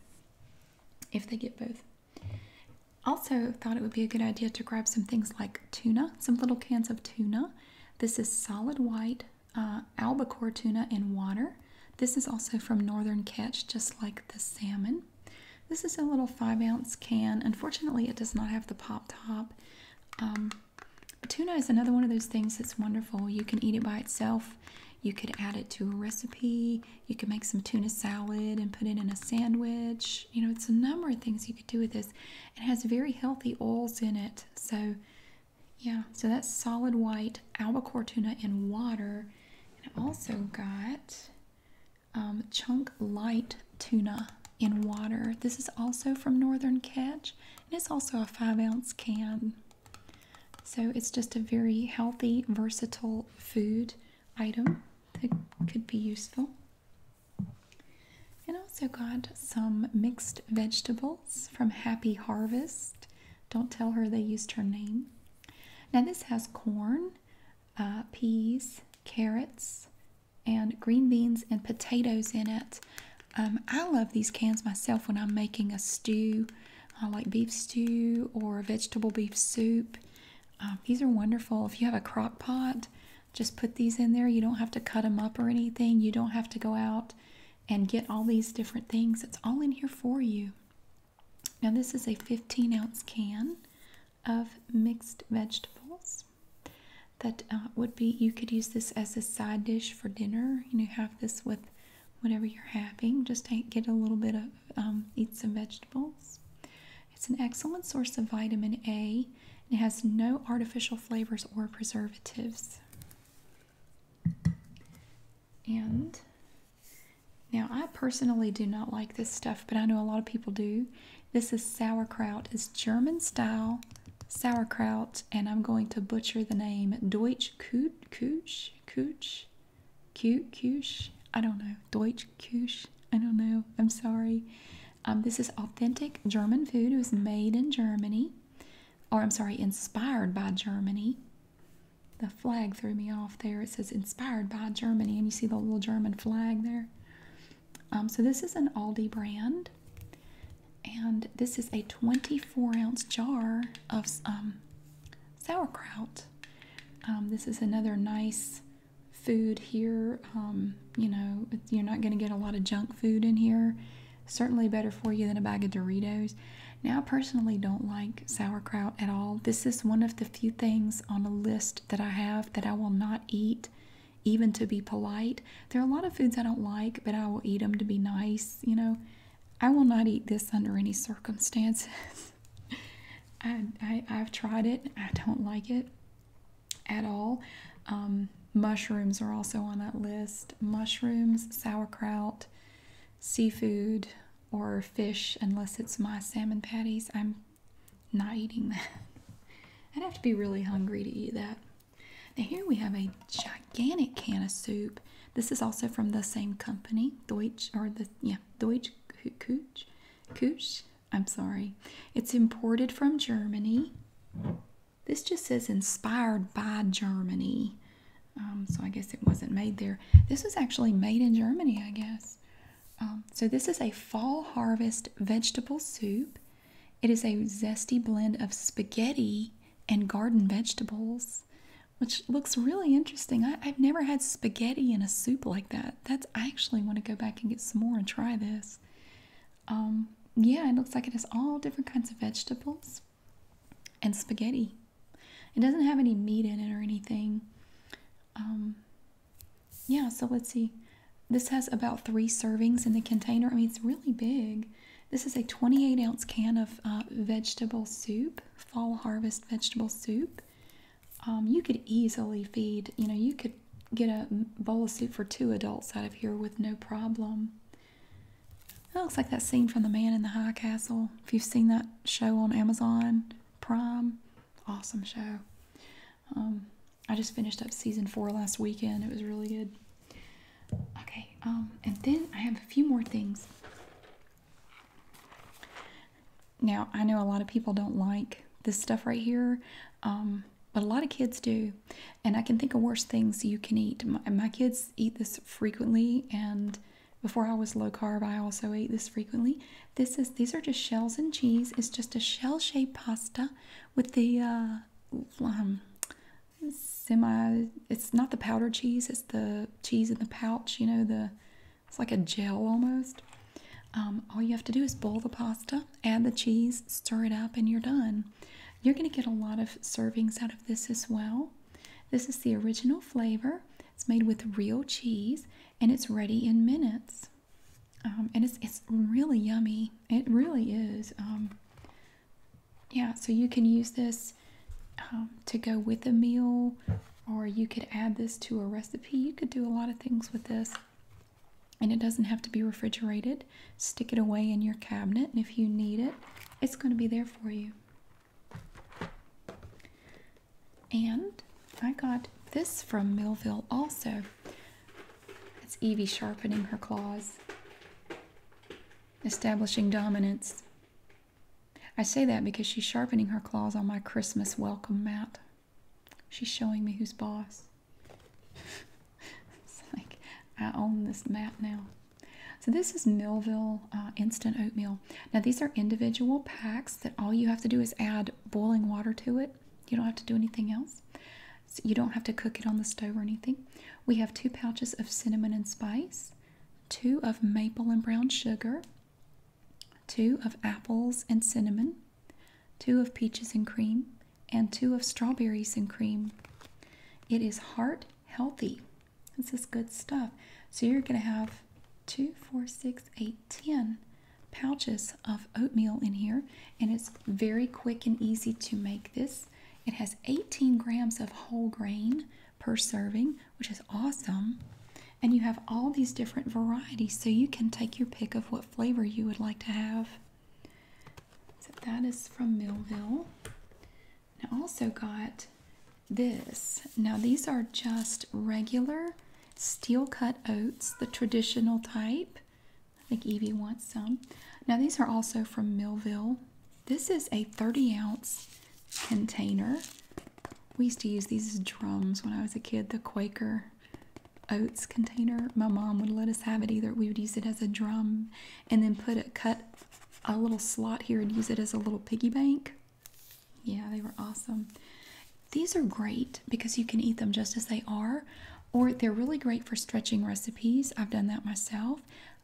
if they get both. Also, thought it would be a good idea to grab some things like tuna, some little cans of tuna. This is solid white uh, albacore tuna in water. This is also from Northern Catch, just like the salmon. This is a little five ounce can. Unfortunately, it does not have the pop top. Um, tuna is another one of those things that's wonderful. You can eat it by itself you could add it to a recipe. You could make some tuna salad and put it in a sandwich. You know, it's a number of things you could do with this. It has very healthy oils in it. So, yeah, so that's solid white albacore tuna in water. And I also got um, chunk light tuna in water. This is also from Northern Catch, and it's also a five ounce can. So it's just a very healthy, versatile food item that could be useful. And also got some mixed vegetables from Happy Harvest. Don't tell her they used her name. Now this has corn, uh, peas, carrots, and green beans and potatoes in it. Um, I love these cans myself when I'm making a stew I like beef stew or vegetable beef soup. Um, these are wonderful. If you have a crock pot, just put these in there. You don't have to cut them up or anything. You don't have to go out and get all these different things. It's all in here for you. Now, this is a 15 ounce can of mixed vegetables. That uh, would be, you could use this as a side dish for dinner. You know, have this with whatever you're having. Just to get a little bit of um, eat some vegetables. It's an excellent source of vitamin A it has no artificial flavors or preservatives. And now I personally do not like this stuff, but I know a lot of people do. This is sauerkraut. It's German style sauerkraut, and I'm going to butcher the name Deutsch Kuch, Kuch, Kuch Cute Kush. I don't know. Deutsch Kush. I don't know. I'm sorry. Um, this is authentic German food. It was made in Germany, or I'm sorry, inspired by Germany. The flag threw me off there. It says inspired by Germany, and you see the little German flag there. Um, so this is an Aldi brand, and this is a 24 ounce jar of um, sauerkraut. Um, this is another nice food here. Um, you know, you're not going to get a lot of junk food in here. Certainly better for you than a bag of Doritos. Now, I personally don't like sauerkraut at all. This is one of the few things on a list that I have that I will not eat, even to be polite. There are a lot of foods I don't like, but I will eat them to be nice, you know. I will not eat this under any circumstances. I, I have tried it. I don't like it at all. Um, mushrooms are also on that list. Mushrooms, sauerkraut, seafood, or fish, unless it's my salmon patties. I'm not eating that. I'd have to be really hungry to eat that. here we have a gigantic can of soup. This is also from the same company, Deutsch, or the, yeah, Deutsch Kuch. Kuch. I'm sorry. It's imported from Germany. This just says inspired by Germany. Um, so I guess it wasn't made there. This was actually made in Germany, I guess. Um, so this is a fall harvest vegetable soup. It is a zesty blend of spaghetti and garden vegetables which looks really interesting. I, have never had spaghetti in a soup like that. That's I actually want to go back and get some more and try this. Um, yeah, it looks like it has all different kinds of vegetables and spaghetti. It doesn't have any meat in it or anything. Um, yeah, so let's see. This has about three servings in the container. I mean, it's really big. This is a 28 ounce can of uh, vegetable soup fall harvest vegetable soup. Um, you could easily feed, you know, you could get a bowl of soup for two adults out of here with no problem. That looks like that scene from The Man in the High Castle. If you've seen that show on Amazon Prime, awesome show. Um, I just finished up season four last weekend. It was really good. Okay, um, and then I have a few more things. Now, I know a lot of people don't like this stuff right here, um, but a lot of kids do. And I can think of worse things you can eat. My, kids eat this frequently, and before I was low carb, I also ate this frequently. This is these are just shells and cheese. It's just a shell-shaped pasta with the uh, um, semi. It's not the powdered cheese. It's the cheese in the pouch. You know the it's like a gel almost. Um, all you have to do is boil the pasta, add the cheese, stir it up, and you're done. You're going to get a lot of servings out of this as well. This is the original flavor. It's made with real cheese and it's ready in minutes. Um, and it's, it's really yummy. It really is. Um, yeah, so you can use this um, to go with a meal, or you could add this to a recipe. You could do a lot of things with this, and it doesn't have to be refrigerated. Stick it away in your cabinet, and if you need it, it's going to be there for you. And I got this from Millville also. It's Evie sharpening her claws, establishing dominance. I say that because she's sharpening her claws on my Christmas welcome mat. She's showing me who's boss. it's like I own this mat now. So this is Millville uh, instant oatmeal. Now these are individual packs that all you have to do is add boiling water to it. You don't have to do anything else. So you don't have to cook it on the stove or anything. We have two pouches of cinnamon and spice, two of maple and brown sugar, two of apples and cinnamon, two of peaches and cream, and two of strawberries and cream. It is heart healthy. This is good stuff. So you're going to have two, four, six, eight, ten pouches of oatmeal in here, and it's very quick and easy to make this. It has 18 grams of whole grain per serving, which is awesome. And you have all these different varieties, so you can take your pick of what flavor you would like to have. So that is from Millville. I also got this. Now, these are just regular steel cut oats, the traditional type. I think Evie wants some. Now, these are also from Millville. This is a 30 ounce container. We used to use these drums when I was a kid, the Quaker oats container. My mom would let us have it either. We would use it as a drum and then put a cut a little slot here and use it as a little piggy bank. Yeah, they were awesome. These are great because you can eat them just as they are, or they're really great for stretching recipes. I've done that myself.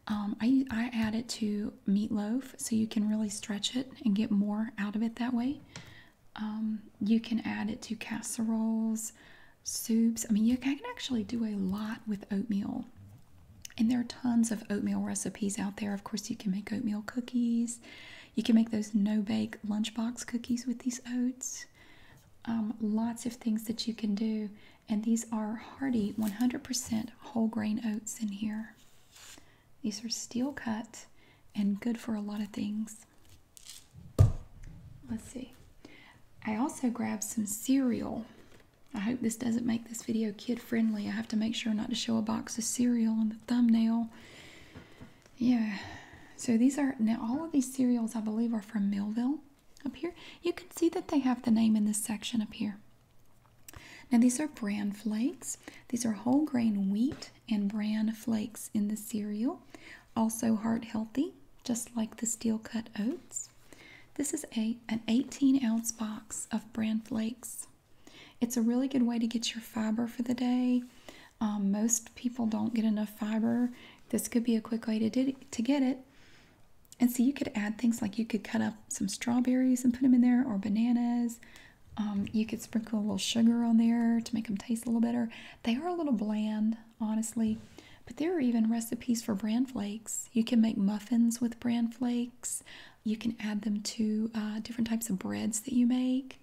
Um, I, I add it to into meatloaf so you can really stretch it and get more out of it that way. Um, you can add it to casseroles, soups. I mean, you can actually do a lot with oatmeal. And there are tons of oatmeal recipes out there. Of course, you can make oatmeal cookies. You can make those no bake lunchbox cookies with these oats. Um, lots of things that you can do. And these are hearty 100% whole grain oats in here. These are steel cut and good for a lot of things. Let's see. I also grabbed some cereal. I hope this doesn't make this video kid friendly. I have to make sure not to show a box of cereal in the thumbnail. Yeah. So these are, now all of these cereals I believe are from Millville up here. You can see that they have the name in this section up here. Now, these are bran flakes. These are whole grain wheat and bran flakes in the cereal, also heart healthy, just like the steel cut oats. This is a, an 18 ounce box of bran flakes. It's a really good way to get your fiber for the day. Um, most people don't get enough fiber. This could be a quick way to, to get it. And so you could add things like you could cut up some strawberries and put them in there, or bananas, um, you could sprinkle a little sugar on there to make them taste a little better. They are a little bland, honestly, but there are even recipes for bran flakes. You can make muffins with bran flakes. You can add them to uh, different types of breads that you make.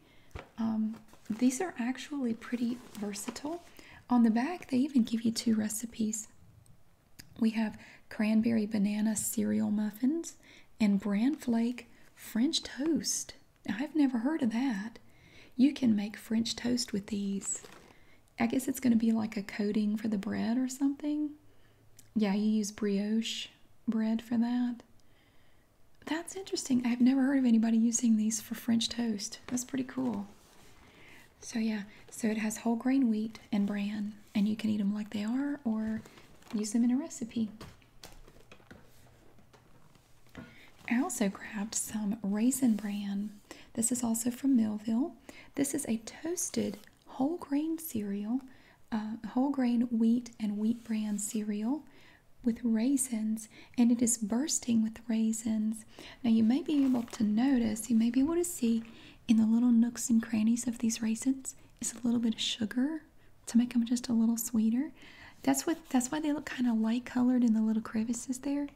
Um, these are actually pretty versatile. On the back, they even give you two recipes. We have cranberry banana cereal muffins and bran flake French toast. I've never heard of that. You can make French toast with these. I guess it's going to be like a coating for the bread or something. Yeah, you use brioche bread for that. That's interesting. I've never heard of anybody using these for French toast. That's pretty cool. So, yeah, so it has whole grain wheat and bran, and you can eat them like they are or use them in a recipe. I also grabbed some Raisin Bran. This is also from Millville. This is a toasted whole grain cereal, uh, whole grain wheat and wheat bran cereal with raisins, and it is bursting with raisins. Now, you may be able to notice, you may be able to see in the little nooks and crannies of these raisins, is a little bit of sugar to make them just a little sweeter. That's what that's why they look kind of light colored in the little crevices there.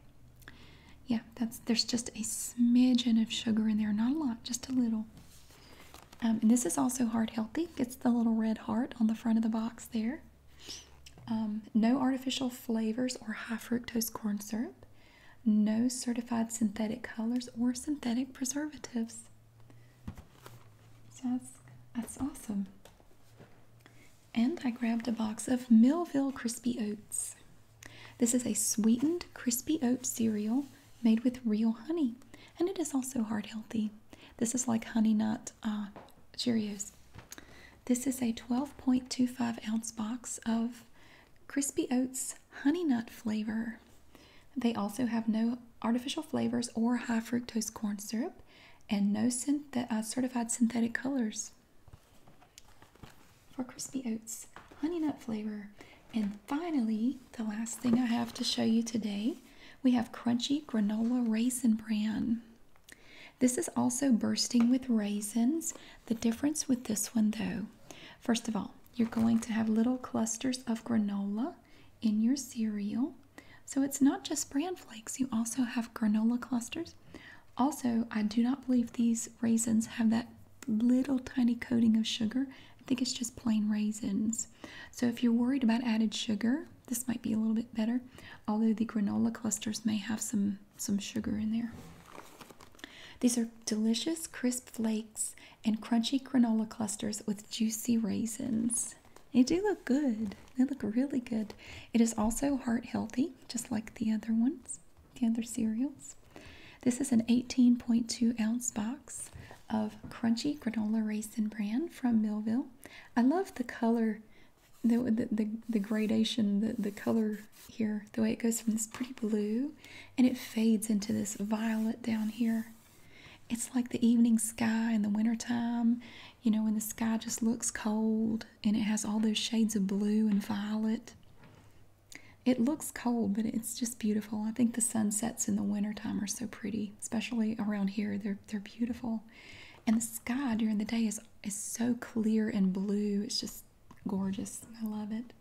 Yeah, that's there's just a smidgen of sugar in there, not a lot, just a little. Um, and this is also heart healthy. It's the little red heart on the front of the box there. Um, no artificial flavors or high fructose corn syrup. No certified synthetic colors or synthetic preservatives. So that's, that's awesome. And I grabbed a box of Millville Crispy Oats. This is a sweetened crispy oat cereal made with real honey, and it is also heart healthy. This is like Honey Nut uh, Cheerios. This is a 12.25 ounce box of crispy oats honey nut flavor they also have no artificial flavors or high fructose corn syrup and no uh, certified synthetic colors. For crispy oats, honey nut flavor. And finally, the last thing I have to show you today, we have crunchy granola raisin bran. This is also bursting with raisins. The difference with this one though, first of all, you're going to have little clusters of granola in your cereal. So it's not just bran flakes, you also have granola clusters. Also, I do not believe these raisins have that little tiny coating of sugar. I think it's just plain raisins. So if you're worried about added sugar, this might be a little bit better, although the granola clusters may have some some sugar in there. These are delicious crisp flakes and crunchy granola clusters with juicy raisins. They do look good. They look really good. It is also heart healthy, just like the other ones, the other cereals. This is an 18.2 ounce box of crunchy granola raisin bran from Millville. I love the color, the, the, the, the gradation, the, the color here, the way it goes from this pretty blue and it fades into this violet down here. It's like the evening sky in the wintertime, you know, when the sky just looks cold and it has all those shades of blue and violet. It looks cold, but it's just beautiful. I think the sunsets in the wintertime are so pretty, especially around here. They're they're beautiful. And the sky during the day is is so clear and blue. It's just gorgeous. I love it.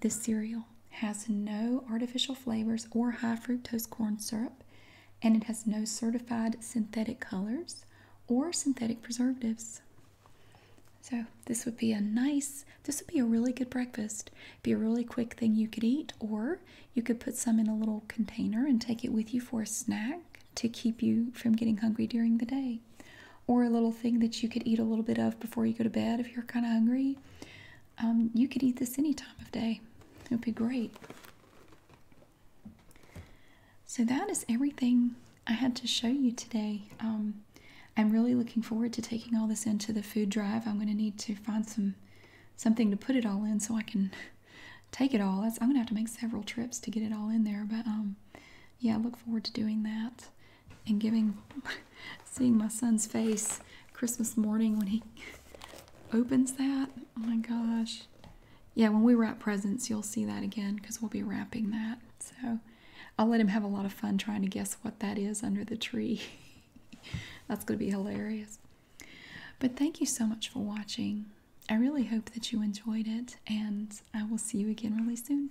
This cereal has no artificial flavors or high fructose corn syrup, and it has no certified synthetic colors or synthetic preservatives. So, this would be a nice, this would be a really good breakfast. Be a really quick thing you could eat, or you could put some in a little container and take it with you for a snack to keep you from getting hungry during the day. Or a little thing that you could eat a little bit of before you go to bed if you're kind of hungry. Um, you could eat this any time of day. It would be great. So that is everything I had to show you today. Um, I'm really looking forward to taking all this into the food drive. I'm going to need to find some something to put it all in so I can take it all. I'm going to have to make several trips to get it all in there. But um, yeah, I look forward to doing that and giving seeing my son's face Christmas morning when he opens that. Oh my gosh. Yeah, when we wrap presents, you'll see that again because we'll be wrapping that. So I'll let him have a lot of fun trying to guess what that is under the tree. That's going to be hilarious. But thank you so much for watching. I really hope that you enjoyed it, and I will see you again really soon.